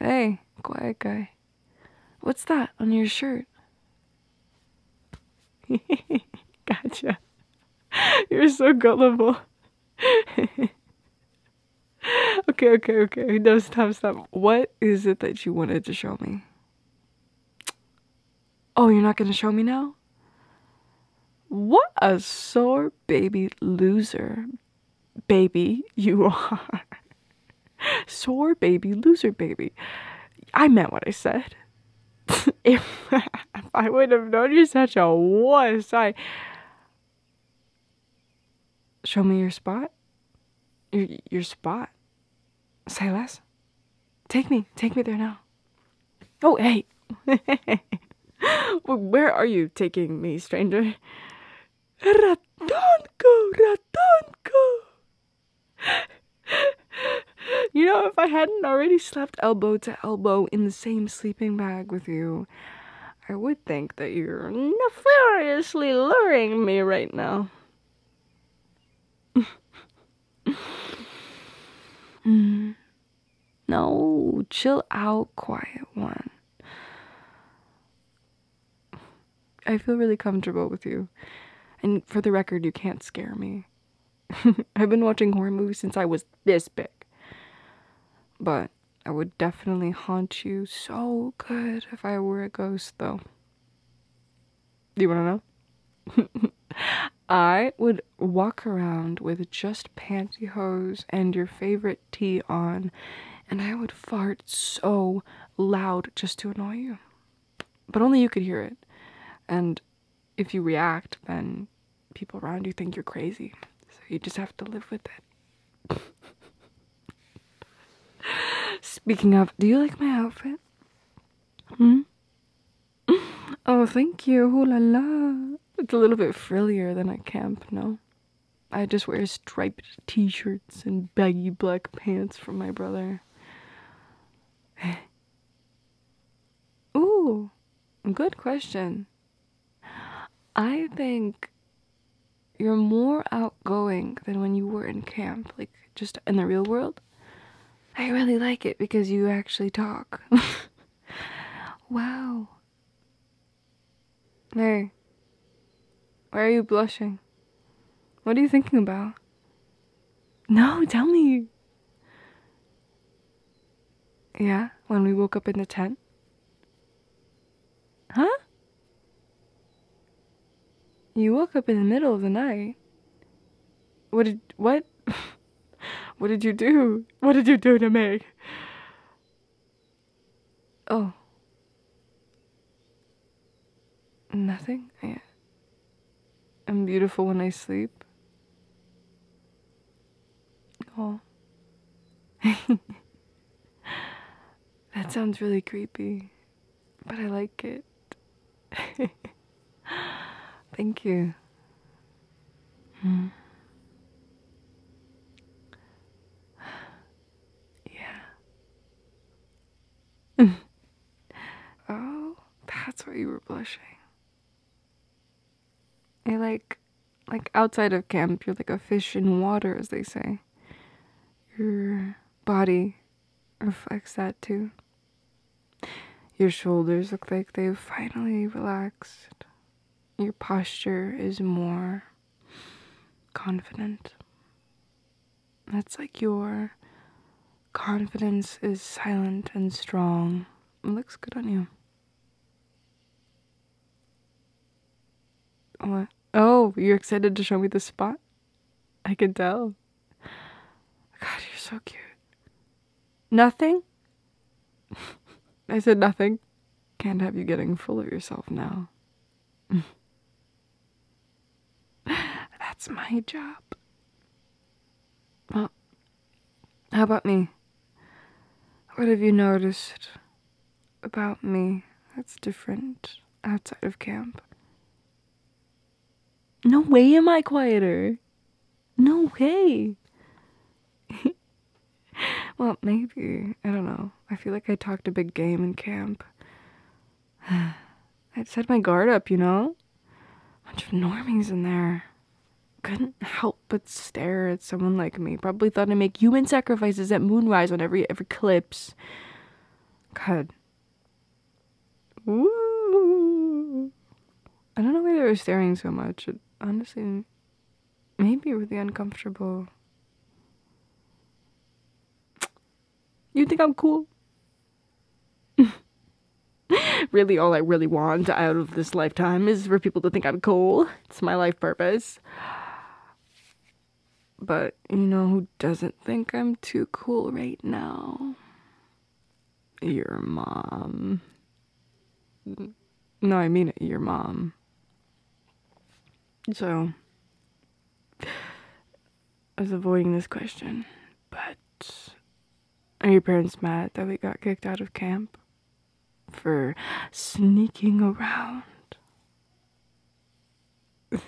Hey, quiet guy. What's that on your shirt? gotcha. You're so gullible. okay, okay, okay. No, stop, stop. What is it that you wanted to show me? Oh, you're not gonna show me now? What a sore baby loser baby you are. sore baby loser baby. I meant what I said. if, I would have known you such a wuss, I. Show me your spot. Your, your spot. Say less. Take me. Take me there now. Oh, hey! Where are you taking me, stranger? Ratonko! Ratonko! You know, if I hadn't already slept elbow to elbow in the same sleeping bag with you, I would think that you're nefariously luring me right now. mm. No, chill out, quiet one. I feel really comfortable with you. And for the record, you can't scare me. I've been watching horror movies since I was this big. But I would definitely haunt you so good if I were a ghost, though. Do you want to know? I would walk around with just pantyhose and your favorite tea on, and I would fart so loud just to annoy you. But only you could hear it. And if you react, then people around you think you're crazy. So you just have to live with it. Speaking of, do you like my outfit? Hmm? oh, thank you. Ooh It's a little bit frillier than at camp, no? I just wear striped t shirts and baggy black pants from my brother. Ooh, good question. I think you're more outgoing than when you were in camp, like just in the real world. I really like it because you actually talk. wow. No. Why are you blushing? What are you thinking about? No, tell me. Yeah, when we woke up in the tent? Huh? You woke up in the middle of the night? What did. what? What did you do? What did you do to me? Oh. Nothing? I am beautiful when I sleep. Oh. that sounds really creepy, but I like it. Thank you. Hmm. yeah. oh, that's why you were blushing. You're like, like outside of camp, you're like a fish in water, as they say. Your body reflects that too. Your shoulders look like they've finally relaxed your posture is more confident. That's like your confidence is silent and strong. looks good on you. What? Oh, you're excited to show me the spot? I can tell. God, you're so cute. Nothing? I said nothing. Can't have you getting full of yourself now. That's my job. Well, how about me? What have you noticed about me that's different outside of camp? No way am I quieter. No way. well, maybe. I don't know. I feel like I talked a big game in camp. I'd set my guard up, you know? Bunch of normies in there. Couldn't help but stare at someone like me. Probably thought I'd make human sacrifices at moonrise on every eclipse. God. I don't know why they were staring so much. honestly maybe really uncomfortable. You think I'm cool? really, all I really want out of this lifetime is for people to think I'm cool. It's my life purpose. But you know who doesn't think I'm too cool right now? Your mom. No, I mean it, your mom. So, I was avoiding this question, but are your parents mad that we got kicked out of camp? For sneaking around?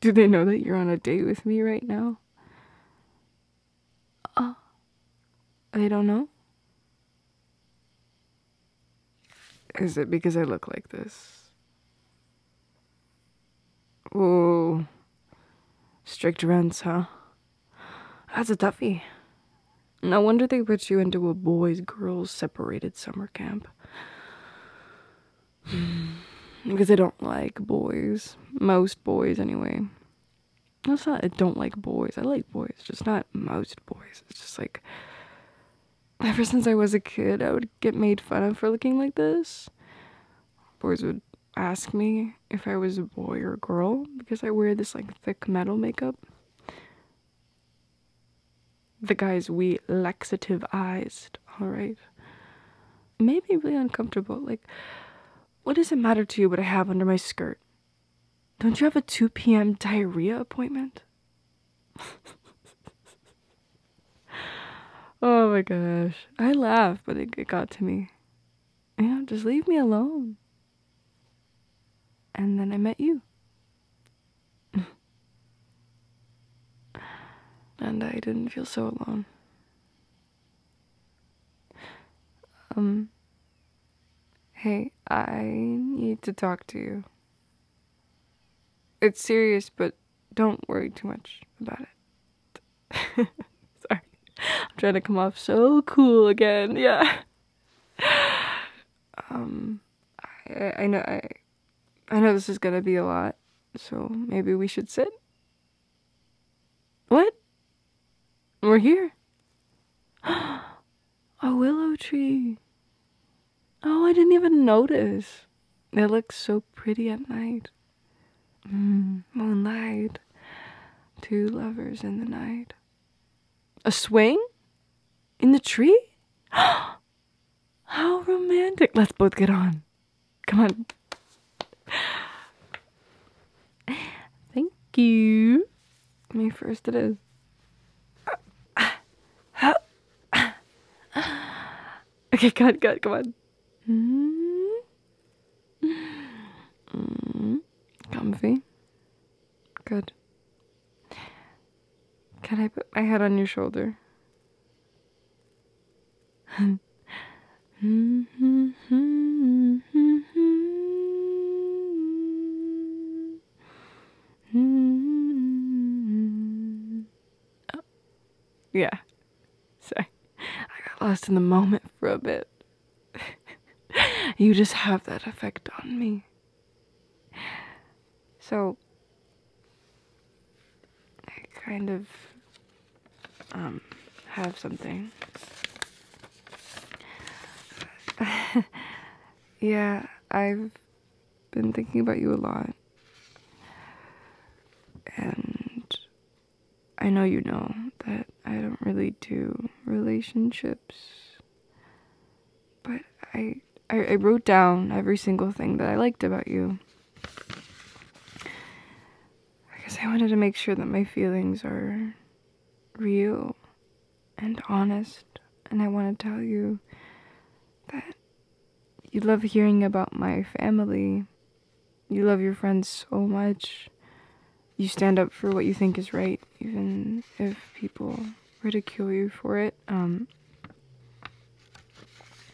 Do they know that you're on a date with me right now? Uh, I don't know. Is it because I look like this? Oh, strict rents, huh? That's a toughie. No wonder they put you into a boys girls separated summer camp. because I don't like boys. Most boys, anyway. That's not I don't like boys. I like boys, just not most boys. It's just like ever since I was a kid, I would get made fun of for looking like this. Boys would ask me if I was a boy or a girl because I wear this like thick metal makeup. The guys we laxative eyes, alright. made me really uncomfortable. Like, what does it matter to you what I have under my skirt? Don't you have a 2 p.m. diarrhea appointment? oh my gosh. I laughed, but it, got to me. You know, just leave me alone. And then I met you. and I didn't feel so alone. Um, hey, I need to talk to you. It's serious, but don't worry too much about it. Sorry. I'm trying to come off so cool again. Yeah. Um, I, know I, I know this is gonna be a lot, so maybe we should sit. What? We're here. a willow tree. Oh, I didn't even notice. It looks so pretty at night. Mm, moonlight. Two lovers in the night. A swing? In the tree? How romantic. Let's both get on. Come on. Thank you. Me first it is. Okay, good, good, come on. Mm -hmm. Comfy. Good. Can I put my head on your shoulder? Mm-hmm. Yeah. Sorry. I got lost in the moment for a bit. you just have that effect on me. So, I kind of um, have something yeah, I've been thinking about you a lot. And I know you know that I don't really do relationships. But I, I, wrote down every single thing that I liked about you. I guess I wanted to make sure that my feelings are real and honest, and I want to tell you that you love hearing about my family. You love your friends so much. You stand up for what you think is right, even if people ridicule you for it. Um,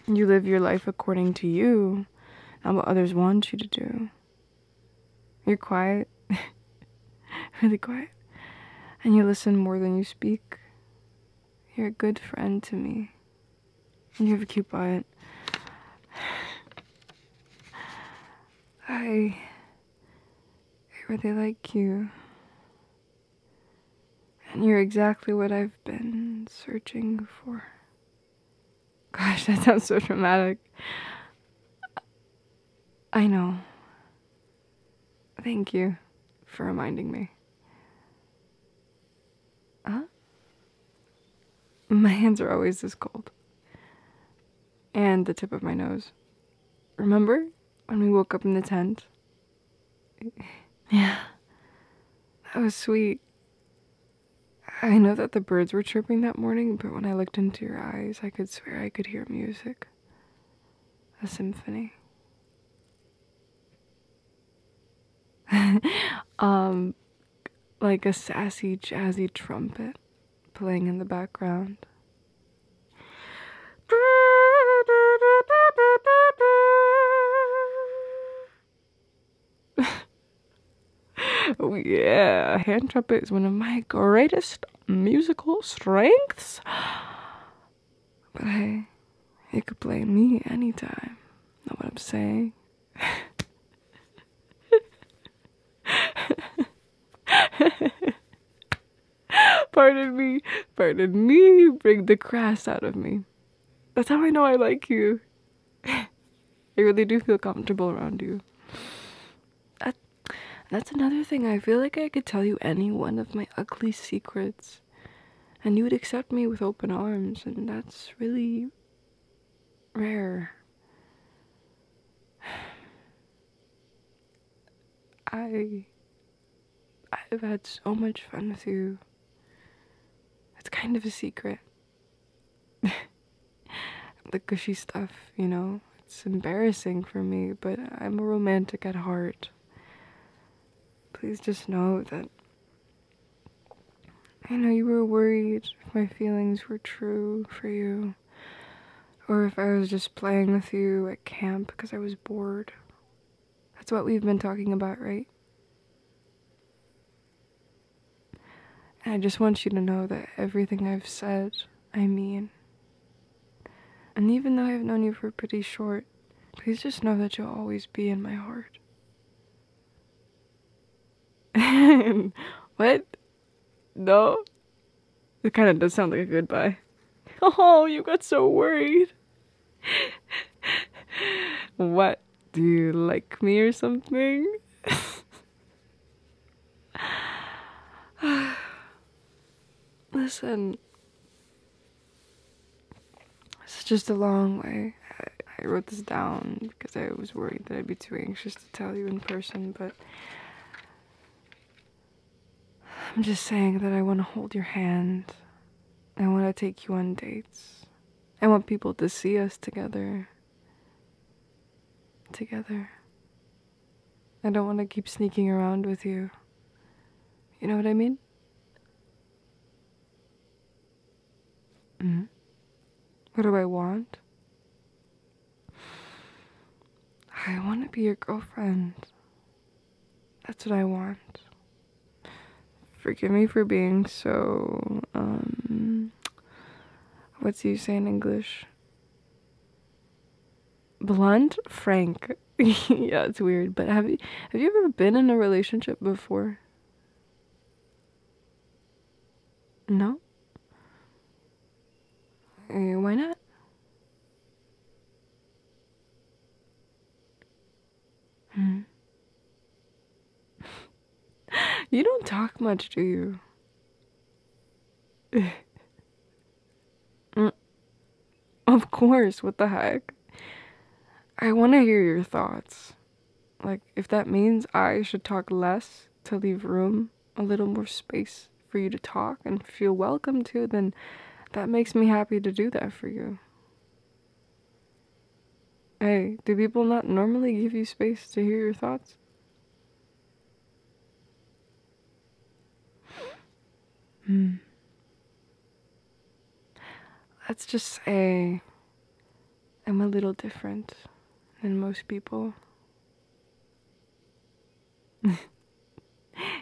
you live your life according to you, not what others want you to do. You're quiet, really quiet, and you listen more than you speak. You're a good friend to me, and you have a cute butt. I really like you. And you're exactly what I've been searching for. Gosh, that sounds so dramatic. I know. Thank you for reminding me. Huh? My hands are always this cold. And the tip of my nose. Remember when we woke up in the tent? Yeah. That was sweet. I know that the birds were chirping that morning, but when I looked into your eyes, I could swear I could hear music. A symphony. um, like a sassy, jazzy trumpet playing in the background. Oh, yeah, hand trumpet is one of my greatest musical strengths. But hey, you could play me anytime. Know what I'm saying? pardon me, pardon me, bring the crass out of me. That's how I know I like you. I really do feel comfortable around you that that's another thing. I feel like I could tell you any one of my ugly secrets and you would accept me with open arms and that's really rare. I I've had so much fun with you. It's kind of a secret. the gushy stuff, you know? It's embarrassing for me, but I'm a romantic at heart. Please just know that. I know you were worried if my feelings were true for you, or if I was just playing with you at camp because I was bored. That's what we've been talking about, right? And I just want you to know that everything I've said, I mean. And even though I've known you for pretty short, please just know that you'll always be in my heart. what? No? It kind of does sound like a goodbye. Oh, you got so worried. what? Do you like me or something? Listen, it's just a long way. I wrote this down because I was worried that I'd be too anxious to tell you in person, but I'm just saying that I want to hold your hand. I want to take you on dates. I want people to see us together together. I don't want to keep sneaking around with you. You know what I mean? hmm What do I want? I want to be your girlfriend. That's what I want. Forgive me for being so, um, what's you say in English? Blunt, frank. yeah, it's weird. But have you have you ever been in a relationship before? No. Eh, why not? Hmm. you don't talk much, do you? Mm. Of course, what the heck? I want to hear your thoughts. Like, if that means I should talk less to leave room, a little more space for you to talk and feel welcome to, then that makes me happy to do that for you. Hey, do people not normally give you space to hear your thoughts? Hmm. Let's just say I'm a little different than most people.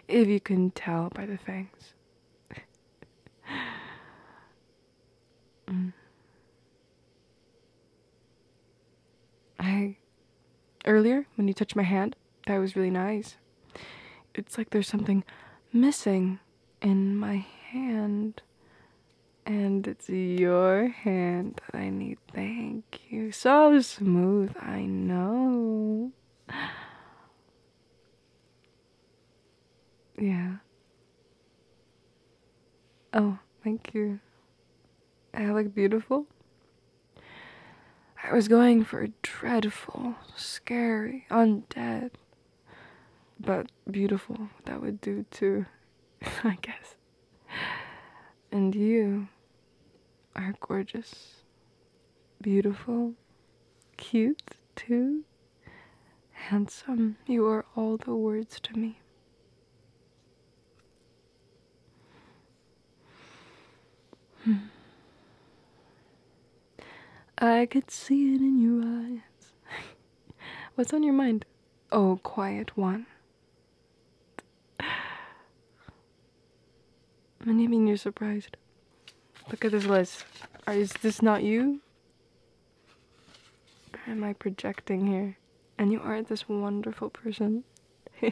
if you can tell by the things. Hmm. I. Earlier, when you touched my hand, that was really nice. It's like there's something missing in my hand. And it's your hand that I need. Thank you. So smooth, I know. Yeah. Oh, thank you. I look beautiful. I was going for dreadful, scary, undead, but beautiful, that would do too, I guess. And you are gorgeous, beautiful, cute too, handsome. You are all the words to me. Hmm. I could see it in your eyes. What's on your mind? Oh, quiet one. I mean you're surprised? Look at this list. is this not you? am I projecting here? and you are this wonderful person.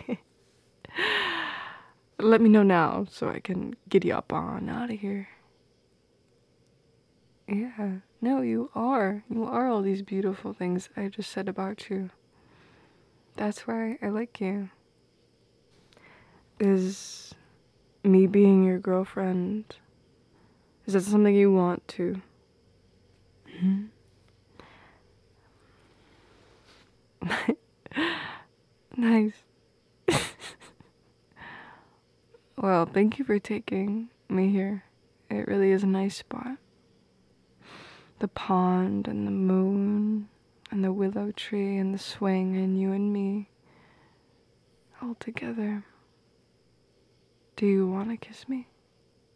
Let me know now so I can giddy up on out of here. Yeah, no, you are. You are all these beautiful things I just said about you. That's why I like you. Is me being your girlfriend, is that something you want to? Hmm? nice. well, thank you for taking me here. It really is a nice spot. The pond and the moon and the willow tree and the swing and you and me all together. Do you want to kiss me?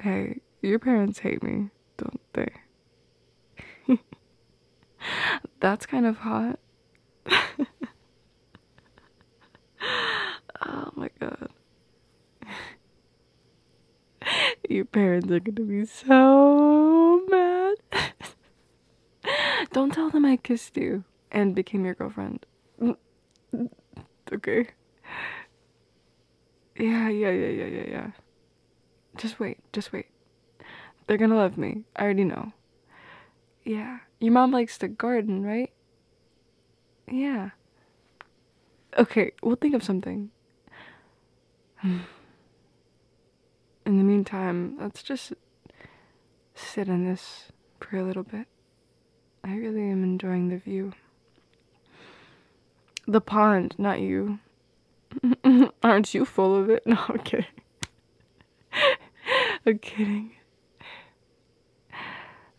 hey, your parents hate me, don't they? That's kind of hot. oh my god. Your parents are gonna be so mad. Don't tell them I kissed you and became your girlfriend. Okay. Yeah, yeah, yeah, yeah, yeah, yeah. Just wait, just wait. They're gonna love me. I already know. Yeah. Your mom likes to garden, right? Yeah. Okay, we'll think of something. In the meantime, let's just sit in this for a little bit. I really am enjoying the view. The pond, not you. Aren't you full of it? No, I'm kidding. I'm kidding.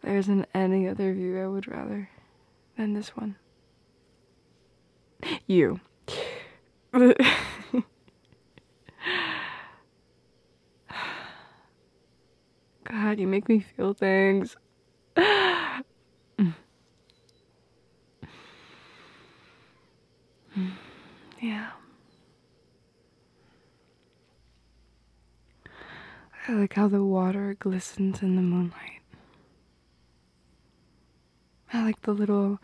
There isn't any other view I would rather than this one you. God, you make me feel things. yeah. I like how the water glistens in the moonlight. I like the little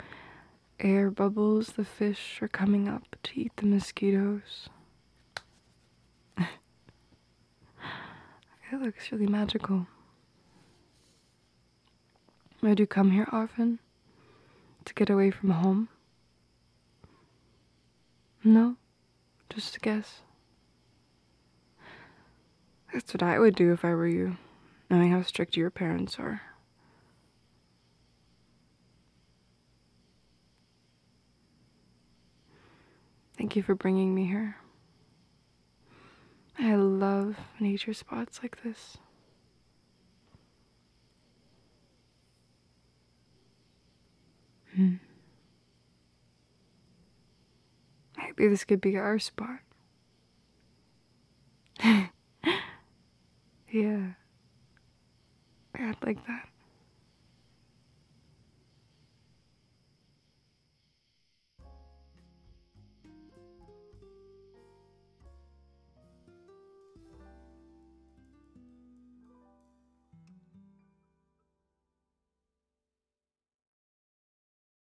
air bubbles the fish are coming up to eat the mosquitoes. it looks really magical. I do come here often to get away from home. No, just to guess. That's what I would do if I were you, knowing how strict your parents are. Thank you for bringing me here. I love nature spots like this. Hmm. Maybe this could be our spot. yeah. I'd like that.